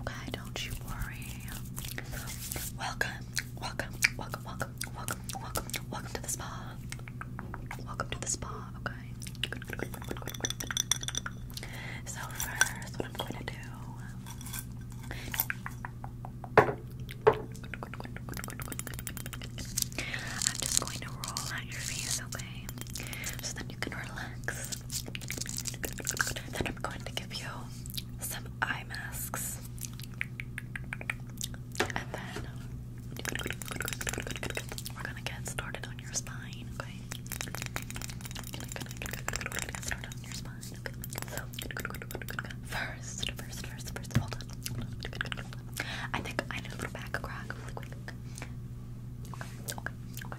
okay? Don't you worry. Welcome, welcome, welcome, welcome, welcome, welcome, welcome to the spa. Welcome to the spa, okay? So first, what I'm going to do. I'm just going to roll out your face, okay? So that you can relax. Then I'm going to give you some eye masks. And then we're gonna get started on your spine, okay? get started on your spine, So, first, first, first, first, hold on, I think I need a little back crack really quick. Okay,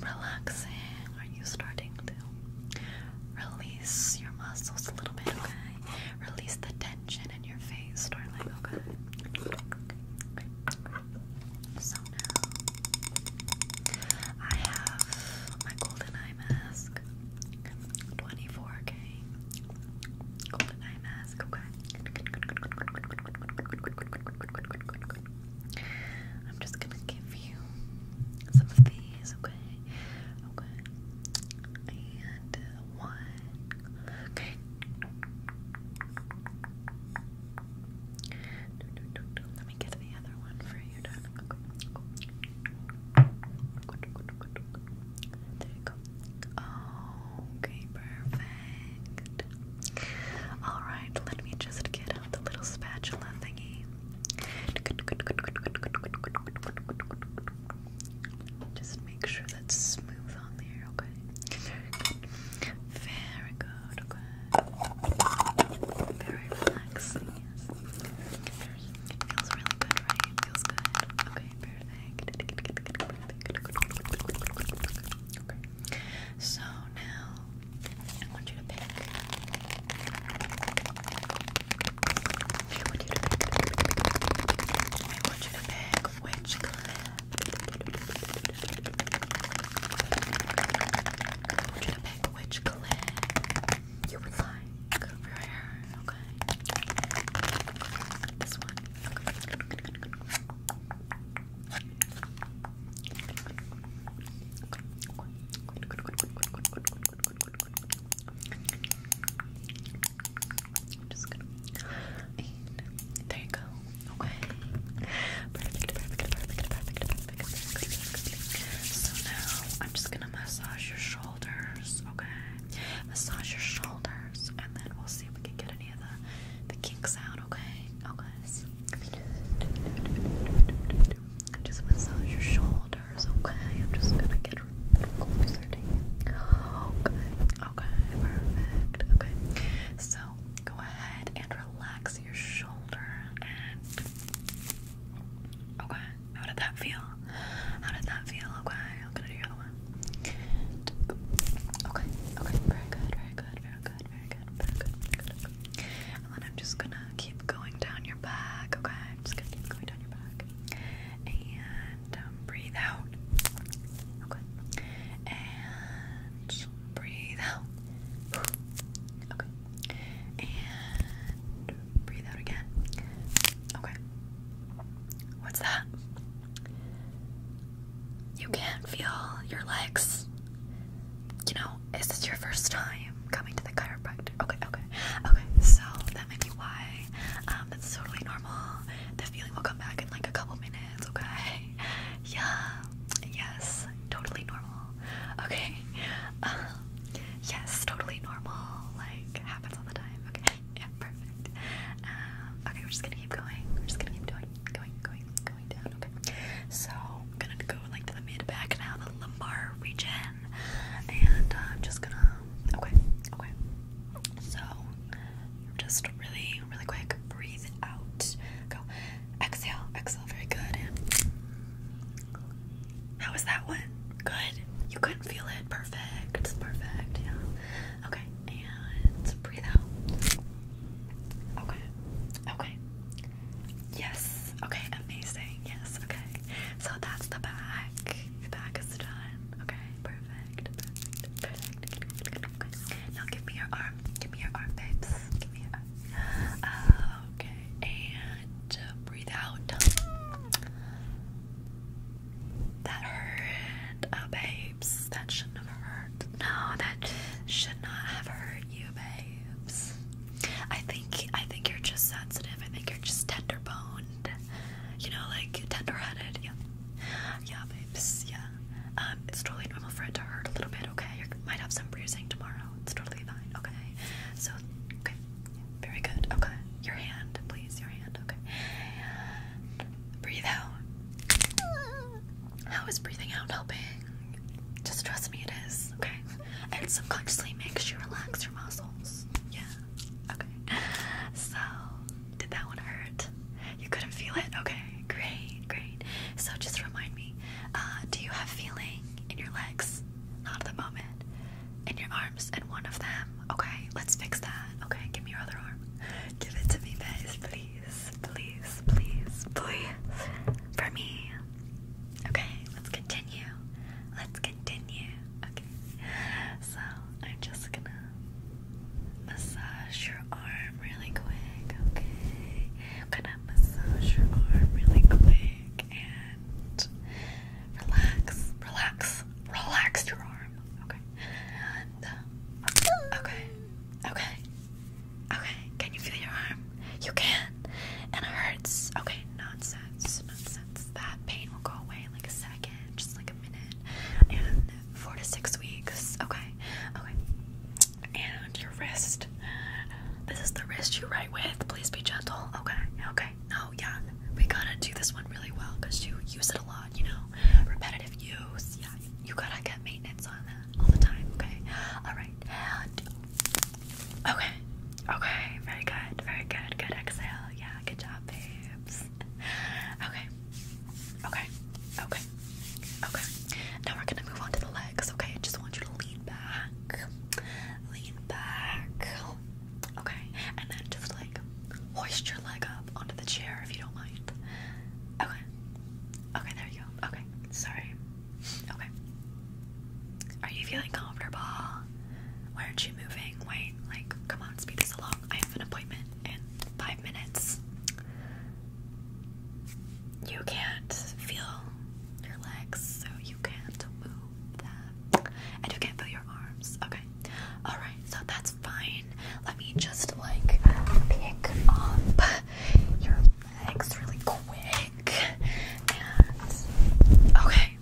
relaxing. Are you starting to release your muscles a little bit? Okay, release the tension in your face, darling. Okay. So now I have my golden eye mask. 24k golden eye mask. Okay. I'm just gonna give you some of these, okay? Okay. And uh, one. Okay. Let me get the other one for you, darling. There you go. Oh, okay, perfect. Alright, let me just get now the little spatula thingy. Just make sure that's smooth on there, okay? Very good, okay? Very relaxing, yes. Feels really good, right? Feels good. Okay, perfect. So now I want you to pick. I want you to pick. which clip. I want you to pick which clip you would like Okay. This one. I'm just gonna there you go. Okay. So now I'm just gonna massage your shoulders, okay? Massage your shoulders and then we'll see if we can get any of the the kinks out, okay? Okay. Just massage your shoulders, okay? I'm just gonna get closer to you. Okay, okay, perfect. Okay, so go ahead and relax your shoulder. And okay, how did that feel? How did that feel? Okay, I'm gonna do the other one. Okay, okay, very good, very good, very good, very good, very good, very good, And I'm just gonna keep going down your back, okay? I'm just gonna keep going down your back. And um, breathe out. Okay. And breathe out. Okay. And breathe out again. Okay. What's that? you can't feel your legs. You know, is this your first time coming to the chiropractor? Okay, okay, okay. So that might be why. Um, that's totally normal. The feeling will come back in like a couple minutes. Okay. Yeah. Yes. Totally normal. Okay. Um, yes. Totally normal. Like happens all the time. Okay. Yeah. Perfect. Um, okay. We're just gonna keep going. We're just gonna keep doing, going, going. Okay. So I'm gonna go like to the mid back now, the lumbar region, and uh, I'm just gonna. Okay. Okay. So just really, really quick. Breathe out. Go. Exhale. Exhale. Very good. And how was that one? Good. You couldn't feel it. Perfect. Perfect. Yeah. Okay. And breathe out. Okay. Okay. Yes. Okay. Amazing. Yes. Okay. So that's the back. The back is done. Okay. Perfect. Now give me your arm. Give me your arm, babes. Give me your arm. okay. And breathe out. That hurt. Oh, babe. That shouldn't have hurt. No, that should not have hurt you, babes. I think I think you're just sensitive. I think you're just tender boned. You know, like tender headed. Yeah, yeah, babes. Yeah. Um, it's totally normal for it to hurt a little bit. Okay, you might have some bruising tomorrow. It's totally fine. Okay. So, okay. very good. Okay. Your hand, please. Your hand. Okay. breathe out. How is breathing out helping? Just trust me, it is, okay? It subconsciously makes you relax your muscles. Yeah, okay. So, did that one hurt? You couldn't feel it? Okay, great, great. So, just remind me uh, do you have feeling in your legs? Not at the moment. In your arms, and one of them. Okay, let's fix that. Okay, give me your other arm. Give it to me, guys, please please, please, please, please, for me. Okay, let's continue. Let's continue. Okay, so I'm just gonna massage your arm really quick. Okay, I'm gonna massage your arm really quick and relax, relax, relax your arm. Okay, and okay, okay. Okay, can you feel your arm? You can. And it hurts. Okay, nonsense. Nonsense. That pain will go away in like a second, just like a minute. And four to six weeks. Okay. Okay. And your wrist. This is the wrist you write with. Please be gentle. Okay. Okay. No, yeah. We gotta do this one really well because you use it a lot, you know. Repetitive use. Yeah. You gotta get maintenance on all the time, okay? Alright, Okay, okay, very good, very good, good exhale. Yeah, good job, babes. Okay, okay, okay, okay. Now we're gonna move on to the legs, okay? just want you to lean back, lean back, okay? And then just like hoist your leg up onto the chair if you don't mind. Okay, Okay, there you go. Okay, sorry. Okay. Are you feeling comfortable? Why aren't you moving? Wait, like, come on, speed this along. I have an appointment in five minutes. You can't feel your legs, so you can't move that. And you can't feel your arms. Okay. Alright, so that's fine. Let me just like pick up your legs really quick. And okay.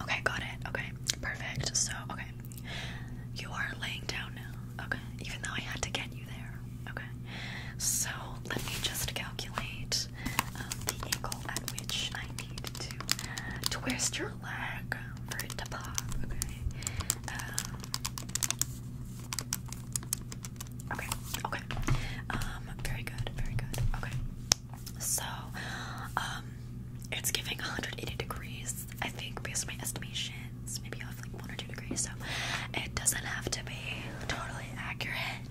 Okay, got it. Okay. Perfect. So, okay. You are laying down now. Okay. Even though I had to get you there. Okay. So, let me just calculate um, the angle at which I need to twist your leg for it to pop. Okay. Um, Okay, okay. Um, very good, very good. Okay. So, um, it's giving 180 degrees, I think, based on my estimations. Maybe off like one or two degrees, so it doesn't have to be totally accurate.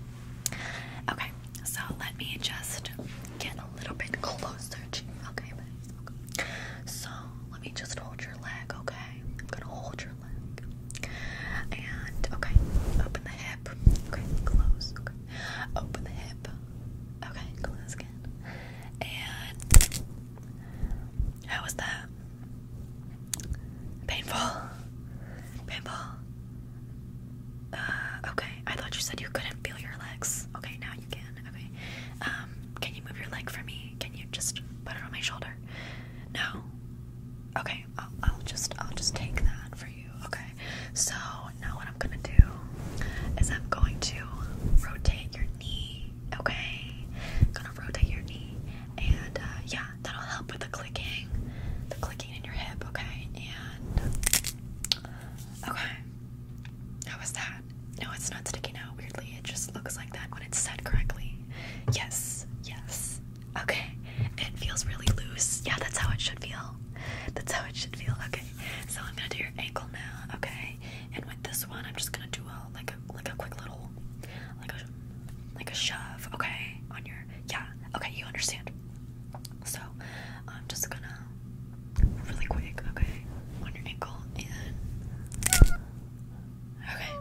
Okay, so let me just get a little bit closer to you. Okay, okay. So let me just hold your leg, okay? I'm gonna hold your leg. And, okay, open the hip. Okay, close. Okay. Open the hip. Okay, close again. And, how was that? Painful? Painful? Uh, okay, I thought you said you couldn't feel your legs. Okay, now you can. Okay. Um, can you move your leg for me? Can you? just put it on my shoulder? No. Okay, I'll, just I'll just take that for you. Okay. So now what I'm gonna do is I'm going to rotate your knee. Okay, gonna rotate your knee, and uh, yeah, that'll help with the clicking, the clicking in your hip. Okay, and okay, how was that? No, it's not sticking out weirdly. It just looks like that when it's set correctly. Yes, yes. Okay. It feels really loose. Yeah, that's how it should feel. That's how it should feel. Okay. So I'm gonna do your ankle now. Okay. And with this one, I'm just gonna do a like a like a quick little like a like a shove. Okay. On your yeah. Okay. You understand. So I'm just gonna really quick. Okay. On your ankle and Okay.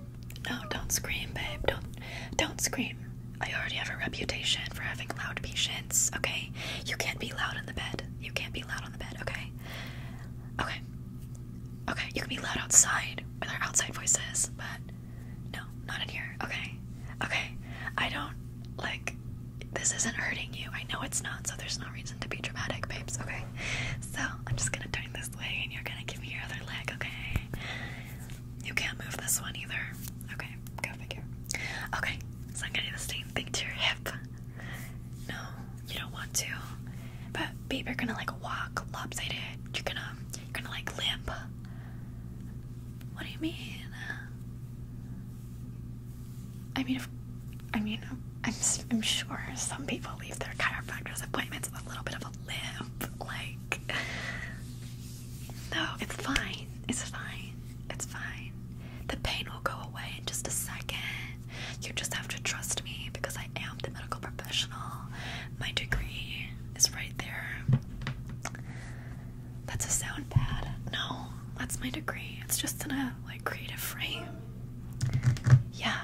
No, don't scream, babe. Don't don't scream. I already have a reputation for having loud patients, okay? You can't be loud in the bed. You can't be loud on the bed, okay? Okay. Okay, you can be loud outside with our outside voices, but no, not in here, okay? Okay. I don't like this isn't hurting you. I know it's not, so there's no reason to be dramatic, babes, okay? So I'm just gonna turn this way and you're gonna give me your other leg, okay? You can't move this one either. Okay, go figure. Okay, so I'm gonna do the same thing to your hip. No, you don't want to. But babe, you're gonna like walk lopsided. You're gonna you're gonna like limp. What do you mean? I mean, I mean, I'm, sure some people leave their chiropractor's appointments with a little bit of a limp. Like, no, it's fine. It's fine. It's fine. The pain will go away in just a second. You just have to trust me because I am the medical professional. My degree is right there. That's a sound pad. No, that's my degree. It's just in a like creative frame. Yeah.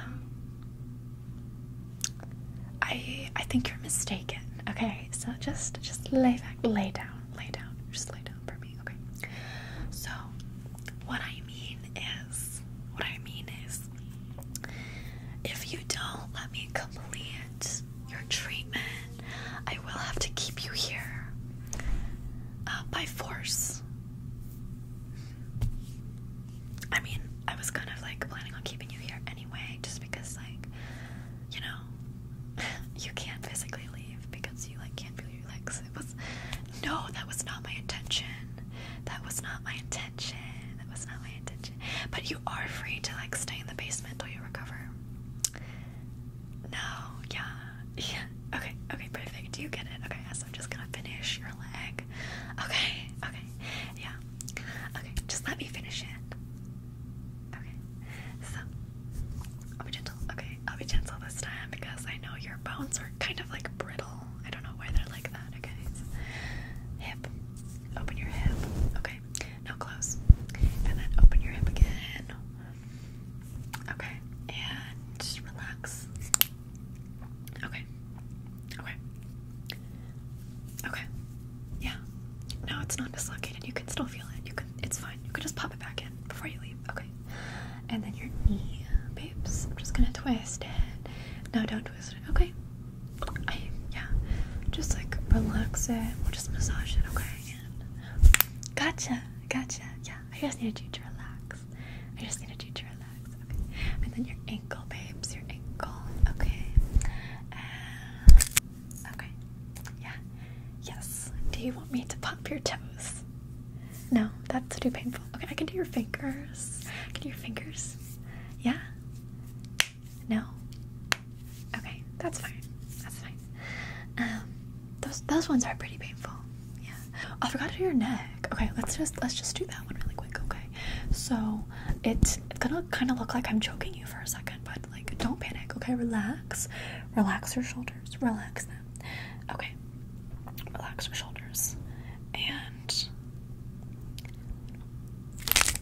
I I think you're mistaken. Okay, so just just lay back, lay down, lay down, just lay down for me. Okay. So what I mean is, what I mean is, if you don't let me complete your treatment, I will have to keep you here uh, by force. I mean, I was kind of like planning on keeping you here anyway, just because, like, you know, you can't physically leave because you like can't feel your legs. It was no, that was not my intention. That was not my intention. That was not my intention. But you are free to like stay in the basement till you recover. No, yeah, yeah. Okay. Okay. Perfect. Do You get it. Okay. So I'm just gonna finish your leg. Okay. Okay. Yeah. Okay. Just let me finish it. Okay. So I'll be gentle. Okay. I'll be gentle this time because I know your bones are kind of like brittle. I don't know why they're like that. Okay. hip. Open your hip. Okay. Now close. And then open your hip again. Okay, and just relax. Okay. Okay. Okay. Yeah. No, it's not dislocated. You can still feel it. You can it's fine. You can just pop it back in before you leave. Okay. And then your knee, babes. I'm just gonna twist it. No, don't twist it. Okay. I yeah. Just like relax it. We'll just massage it, okay? gotcha, gotcha, yeah. I just needed you to relax. I just needed you to relax. Okay. And then your ankle, babes. Your ankle. Okay. okay. Yeah. Yes. Do you want me to pop your toes? No, that's too painful. Okay, I can do your fingers. I can your fingers. Yeah? No? Okay, that's fine. That's fine. Um, those those ones are pretty painful. Yeah. I forgot to do your neck. Okay, let's just let's just do that one really quick. Okay. So it's it's gonna kind of look like I'm choking you for a second, but like don't panic. Okay, relax, relax your shoulders, relax them. Okay, relax your shoulders, and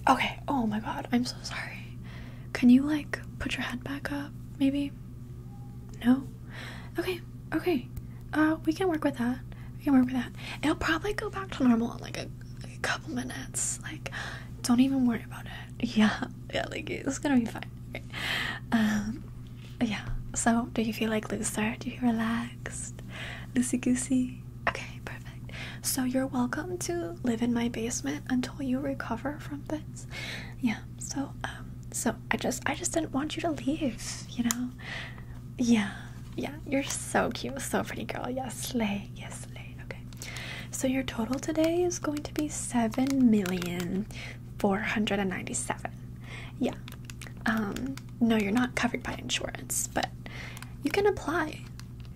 okay. Oh my God, I'm so sorry. Can you like put your head back up, maybe? No? Okay, okay. Uh, we can work with that. We can work with that. It'll probably go back to normal in like a, a couple minutes. Like, don't even worry about it. Yeah, yeah, like it's gonna be fine. Um, yeah. So, do you feel like looser? Do you feel relaxed? Loosey goosey? Okay, perfect. So, you're welcome to live in my basement until you recover from this. Yeah, so um, so i just i just didn't want you to leave you know yeah yeah you're so cute so pretty girl yes lay, yes lay. okay so your total today is going to be 7 million 497 yeah um no you're not covered by insurance but you can apply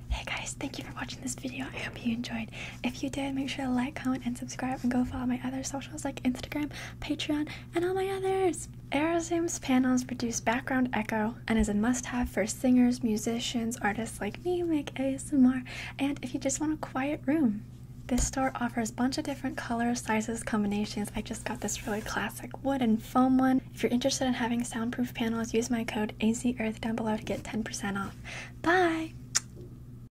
hey guys thank you for watching this video i hope you enjoyed if you did make sure to like comment and subscribe and go follow my other social socials like Instagram, Patreon, and all my others. Aerosmith's panels produce background echo and is a must-have for singers, musicians, artists like me make ASMR, and if you just want a quiet room. This store offers a bunch of different colors, sizes, combinations. I just got this really classic wood and foam one. If you're interested in having soundproof panels, use my code AZEarth down below to get 10% off. Bye!